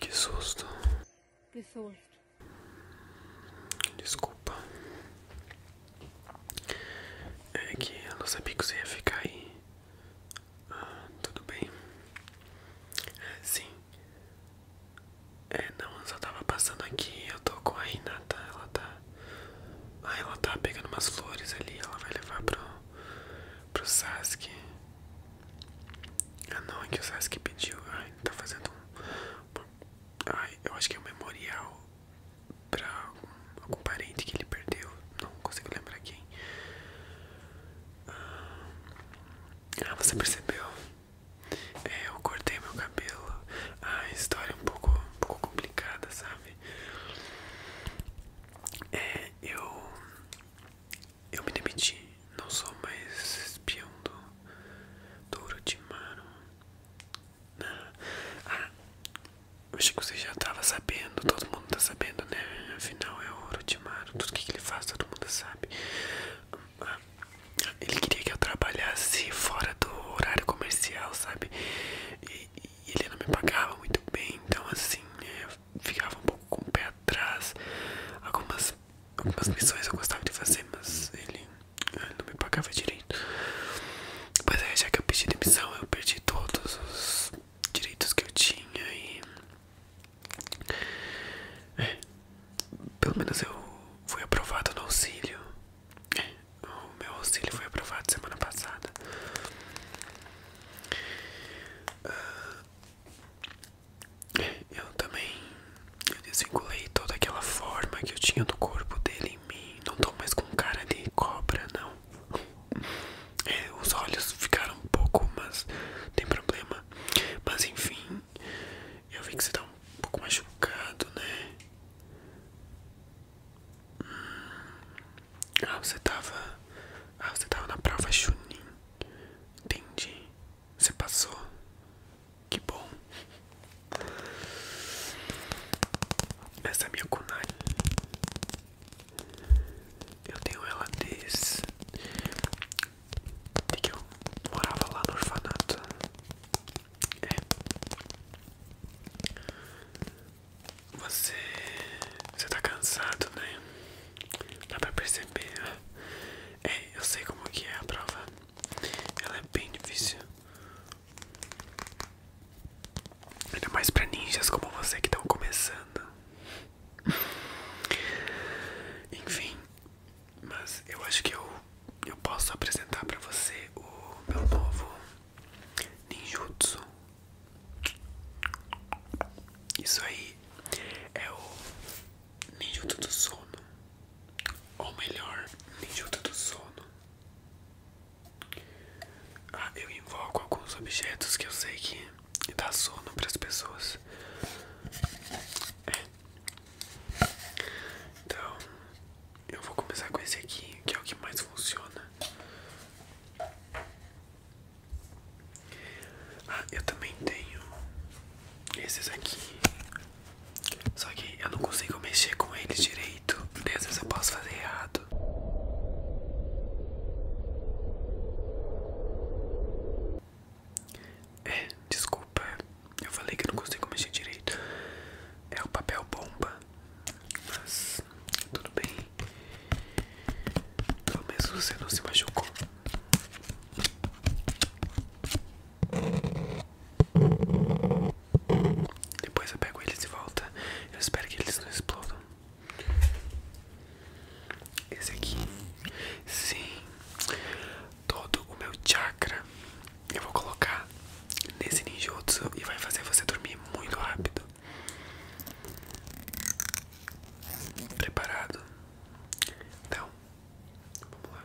Que susto. Que susto. Desculpa. É que eu não sabia que você ia ficar aí. Ah, tudo bem? É, sim. É, não, eu só tava passando aqui. Eu tô com a Renata. Ela tá. Ah, ela tá pegando umas flores ali. Ela vai levar pro. pro Sasuke. Ah, não, é que o Sasuke pediu. Ai, tá fazendo um. Ai, eu acho que é um memorial pra algum parente que ele perdeu. Não consigo lembrar quem. Ah, ah você percebeu? É, eu cortei meu cabelo. A história é um pouco, um pouco complicada, sabe? É, eu. Eu me demiti. Não sou mais espião do. do Urotimaro. Ah, acho que você já estava sabendo. Todo mundo está sabendo, né? Afinal, é o Urotimaro. Tudo que ele faz, todo mundo sabe. Ele queria que eu trabalhasse fora do horário comercial, sabe? E, ele não me pagava muito bem, então assim, é, ficava um pouco com o pé atrás. Algumas, algumas missões eu gostava de fazer, mas ele é, não me pagava direito. Mas aí já que eu pedi demissão, eu perdi todos os direitos que eu tinha e. É, pelo menos eu fui aprovado no auxílio. É, o meu auxílio foi aprovado semana passada. Ah, é, eu também eu desvinculei toda aquela forma que eu tinha do corpo dele em mim. Não tô mais com cara de cobra, não. É, os olhos ficaram um pouco, mas tem problema. Mas enfim, eu vi que você tá um pouco machucado, né? Hum. Ah, você tava. Ah, você tava na prova Chunin. Entendi. Você passou. Que bom. Essa é minha kunai. Eu tenho ela desde de que eu morava lá no orfanato. É. Você. Você tá cansado, né? Dá pra perceber. É, eu sei como que é a prova. Ela é bem difícil. Ainda mais pra ninjas como você que estão começando. Enfim, mas eu acho que eu, eu posso apresentar pra você o meu novo ninjutsu. Isso aí é o ninjutsu do sono. Ou melhor, ninjutsu do sono. Ah, eu invoco alguns objetos que eu sei que dá sono para as pessoas. É. Então, eu vou começar com esse aqui, que é o que mais funciona. Ah, eu também tenho esses aqui. Só que eu não consigo mexer com eles direito. E às vezes eu posso fazer errado. É, desculpa, eu falei que não consigo mexer direito. É o papel bomba, mas tudo bem. talvez você não se machucou. Depois eu pego eles de volta. Eu espero que eles não explodam. Esse aqui. Sim. Todo o meu chakra eu vou colocar nesse ninjutsu e vai fazer você dormir muito rápido. Preparado? Então, vamos lá.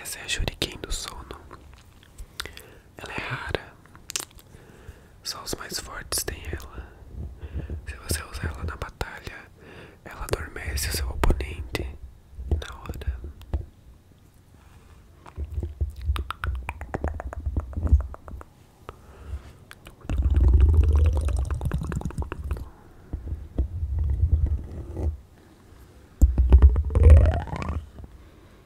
Essa é a Shuriken do sono. Ela é rara. Só os mais fortes têm ela. Se você usar ela na batalha, ela adormece o seu oponente na hora.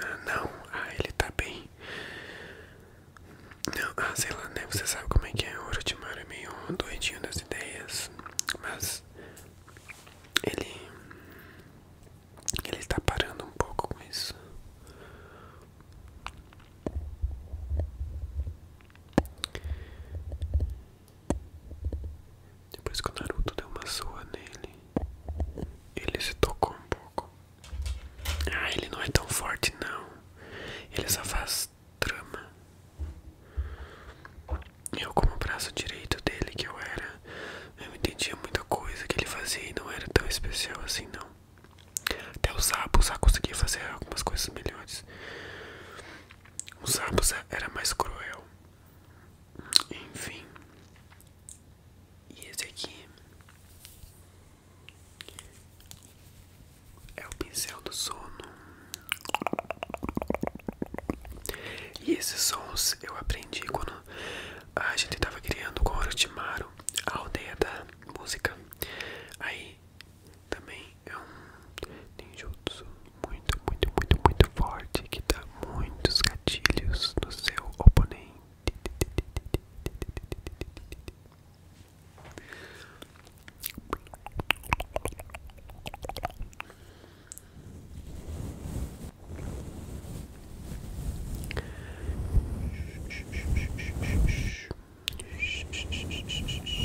Ah, não, ah, ele tá bem. Não, ah, sei lá, né? Você sabe como é que é. O Orochimaru é meio doidinho das ideias. Mas ele. Ele tá parando um pouco com isso. Depois que o Naruto deu uma zoa nele, ele se tocou um pouco. Ah, ele não é tão forte não. Ele só faz trama. Eu como o braço direito dele que eu era, eu entendia muita coisa que ele fazia e não era tão especial assim não. Até o sapo, o conseguia fazer algumas coisas melhores. O Zabuza era mais cruel. Enfim. E esse aqui é o pincel do sono. E esses sons eu aprendi quando a gente tava criando com o Orochimaru, a aldeia da música. Aí também é um ninjutsu muito, muito, muito, muito forte que dá muitos gatilhos no seu oponente.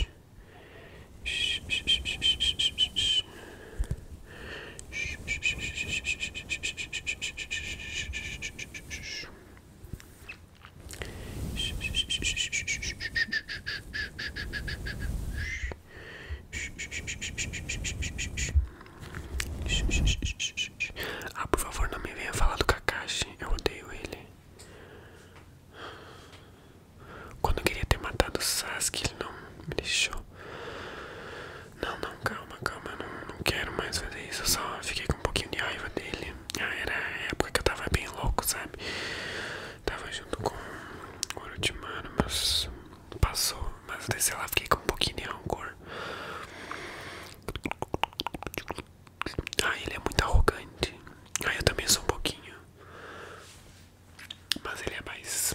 Ah, por favor, não me venha falar do Kakashi. Eu odeio ele. Quando eu queria ter matado o Sasuke, ele não me deixou. Não, não, calma, calma, não, não quero mais fazer isso. Eu só fiquei com um pouquinho de raiva dele. Ah, era a época que eu tava bem louco, sabe? Tava junto com o Orochimaru, mas passou. Mas daí, sei lá, fiquei com um pouquinho de rancor. Ah, ele é muito arrogante. Ah, eu também sou um pouquinho. Mas ele é mais.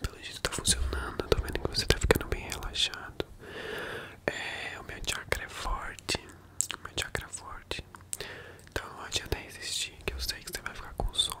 Pelo jeito tá funcionando, tô vendo que você tá ficando bem relaxado é, o meu chakra é forte, o meu chakra é forte, então não adianta resistir, que eu sei que você vai ficar com sono.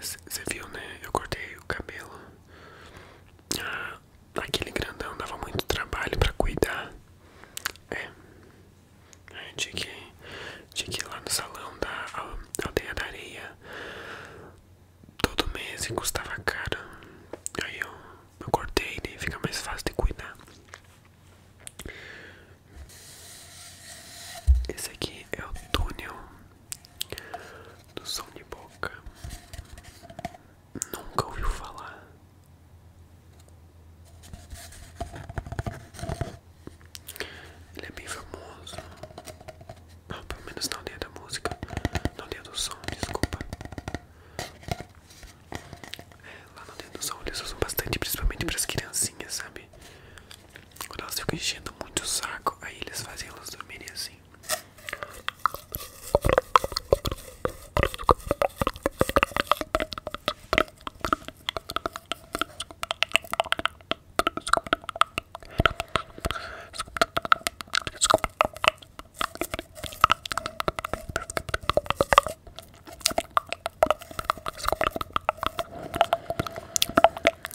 você é, viu, né? Eu cortei o cabelo. Ah, aquele grandão dava muito trabalho pra cuidar. É. é tinha, que, tinha que ir lá no salão da aldeia da areia. Todo mês e custava caro. Aí eu, eu cortei e né? fica mais fácil de cuidar. Esse aqui é o túnel do som de boca. Nunca ouviu falar. Ele é bem famoso. pelo menos na aldeia da música. Na aldeia do som, desculpa. É, lá na aldeia do som eles usam bastante, principalmente para as criancinhas, sabe? Quando elas ficam enchendo muito o saco, aí eles fazem elas dormirem assim.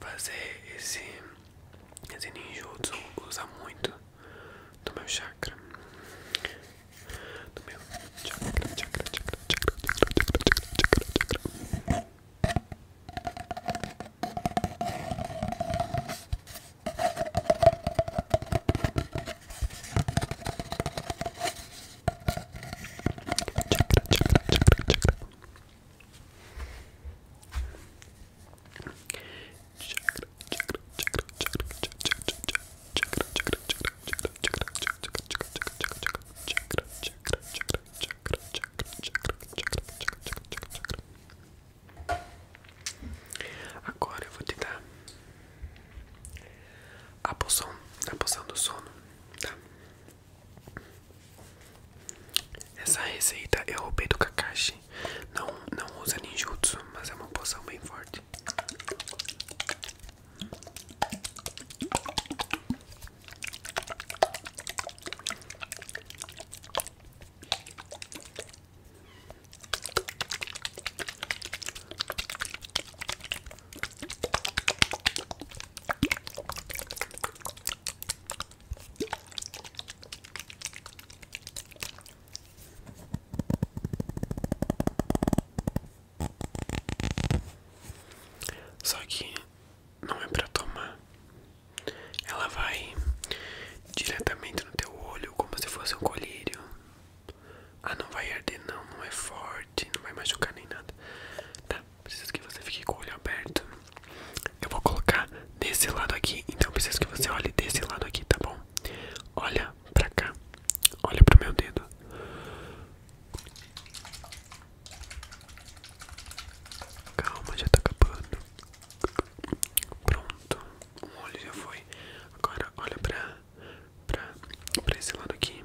Fazer esse, esse ninjutsu usar muito do meu chakra. Do meu chakra, chakra, chakra, chakra, chakra, chakra, chakra. Agora eu vou te dar a poção, a poção do sono, tá? Essa receita eu roubei do Kakashi. Não, não usa ninjutsu, mas é uma poção bem forte. Só que não é para tomar. Ela vai diretamente no teu olho como se fosse um colírio. Ah, não vai arder não, não é forte não vai machucar nem nada. Tá, precisa que você fique com o olho aberto. Eu vou colocar nesse lado aqui, então preciso que você olhe desse lado aqui, tá bom? Olha pra cá, olha pro meu dedo. Calma, já tá acabando. Pronto, o olho já foi. Agora olha pra, pra, pra esse lado aqui.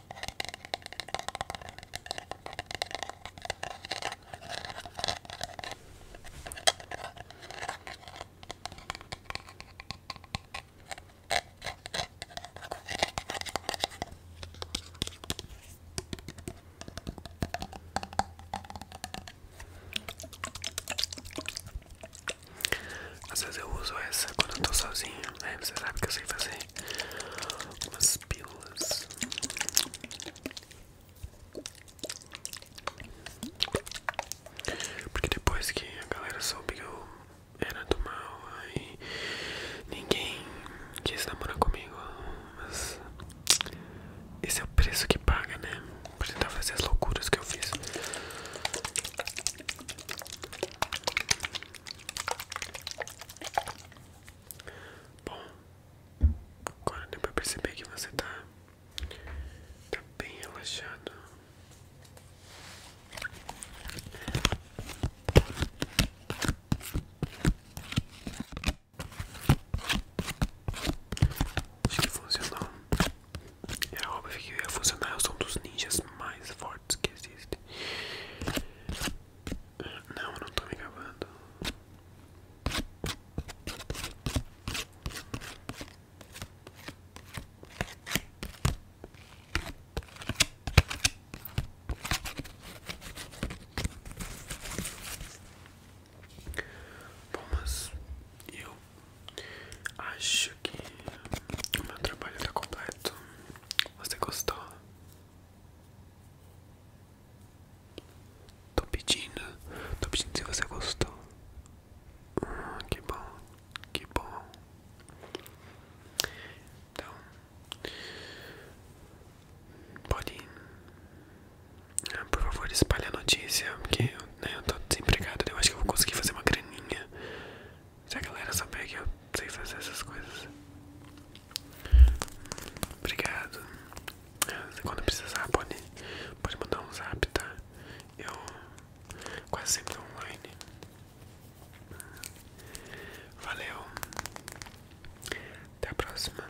Às vezes eu uso essa quando estou tô sozinho, né? Você sabe que eu sei fazer né? Umas pílulas. Porque depois que a galera soube que eu era do mal, aí ninguém quis namorar comigo. Mas esse é o preço que paga, né? Pra tentar fazer as loucuras que eu fiz. Bom, agora deu pra perceber que você tá, tá bem relaxado. Acho que funcionou. Era é óbvio que ia funcionar. Eu sou um dos ninjas mais fortes que existem. Não, eu não estou me gravando. Bom, mas eu acho que o meu trabalho está completo. Você gostou? Tô pedindo, tô pedindo se você gostou. Hum, que bom, que bom. Então, pode, ir. Ah, por favor, espalhe a notícia, porque eu né, tô desempregado. Eu acho que vou conseguir fazer uma graninha. Se a galera saber que eu sei fazer essas coisas. Obrigado. Quando precisar, pode, pode mandar um zap, tá? Eu quase sempre tô online. Valeu. Até a próxima.